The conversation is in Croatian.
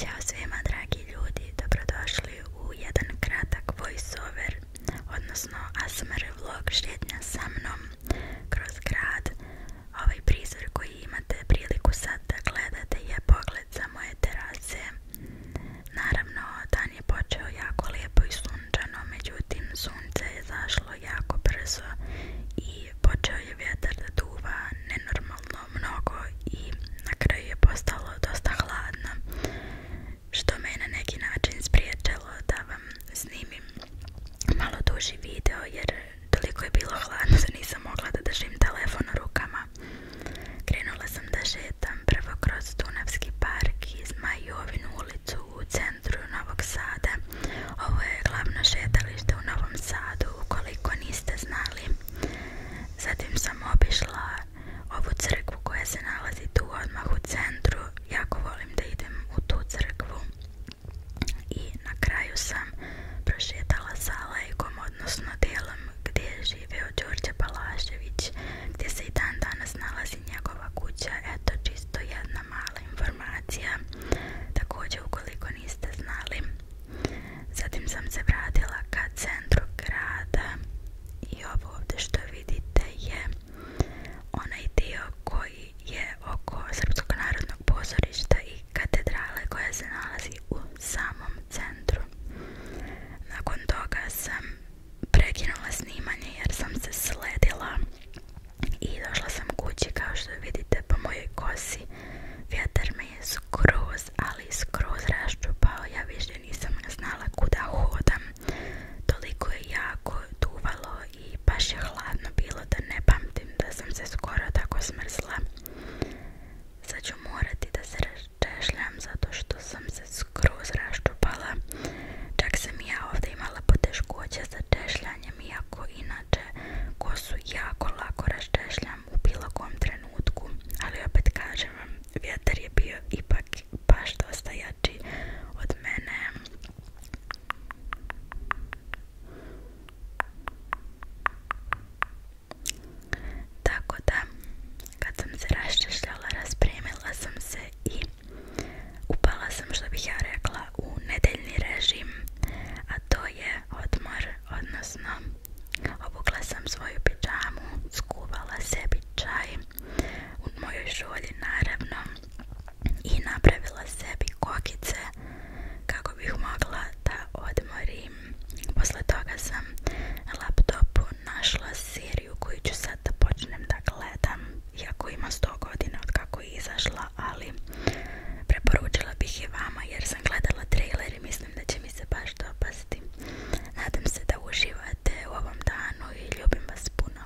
Ćao svima dragi ljudi, dobrodošli u jedan kratak voiceover, odnosno ASMR vlog šetnja sa mnom kroz grad. Ovaj prizor koji imate priliku sad da gledate je pogled sa moje terase. Naravno, dan je počeo jako lijepo i sunčano, međutim sunce je zašlo jako brzo i počeo je vjetar da duva nenormalno mnogo i na kraju je postalo dosta hladno što me na neki način spriječilo da vam snimim malo duži video jer toliko je bilo hladno da nisam mogla da držim telefon u rukama. Krenula sam da šetam prvo kroz Dunavski park i Zmajovinu u centru Novog Sada. Ovo je glavno šetalište u Novom Sadu, ukoliko niste znali. Zatim sam obišla ovu crkvu koja se nalazi tu odmah u centru. Jako volim da idem u tu crkvu. I na kraju sam prošetala sa lajkom, odnosno delom gdje je živio Đorđe Balašević, gdje se i dan danas nalazi njegova kuća. Eto, je jedna mala informacija također ukoliko niste znali zatim sam se vratila ka centru grada i ovo ovdje što vidite je onaj dio koji je oko Srpskog narodnog pozorišta i katedrale koja se nalazi u samom centru nakon toga sam prekinula snimanje jer sam se sledila i došla sam kući kao što vidite po mojoj kosi vjetar me je skroz ali skroz raščupao ja više nisam znala kuda hodam toliko je jako duvalo i baš je hladno bilo da ne pamtim da sam se skoro tako smrzla sad ću morati da se češljam zato što sam se skroz raščupala. Čak sam i ja ovdje imala poteškoće sa češljanjem, iako inače kosu jako lako raštešljam u bilo kom trenutku. Ali opet kažem vam, vjetar je bio ipak baš dosta jači od mene. Tako da, kad sam se raščešljala, raspremila sam se i upala sam, što bih ja rekla, u nedeljni režim, a to je odmor, odnosno obukla sam svoju pijamu, skuvala sebi čaj u mojoj šolji, naravno, i napravila sebi kokice kako bih mogla da odmorim. Posle toga sam laptopu našla seriju koju ću sad počnem da gledam, iako ima 100 godina od kako je izašla, ali preporučila bih je vama jer sam gledala trailer i mislim da će mi se baš dopasti. Nadam se da uživate u ovom danu i ljubim vas puno.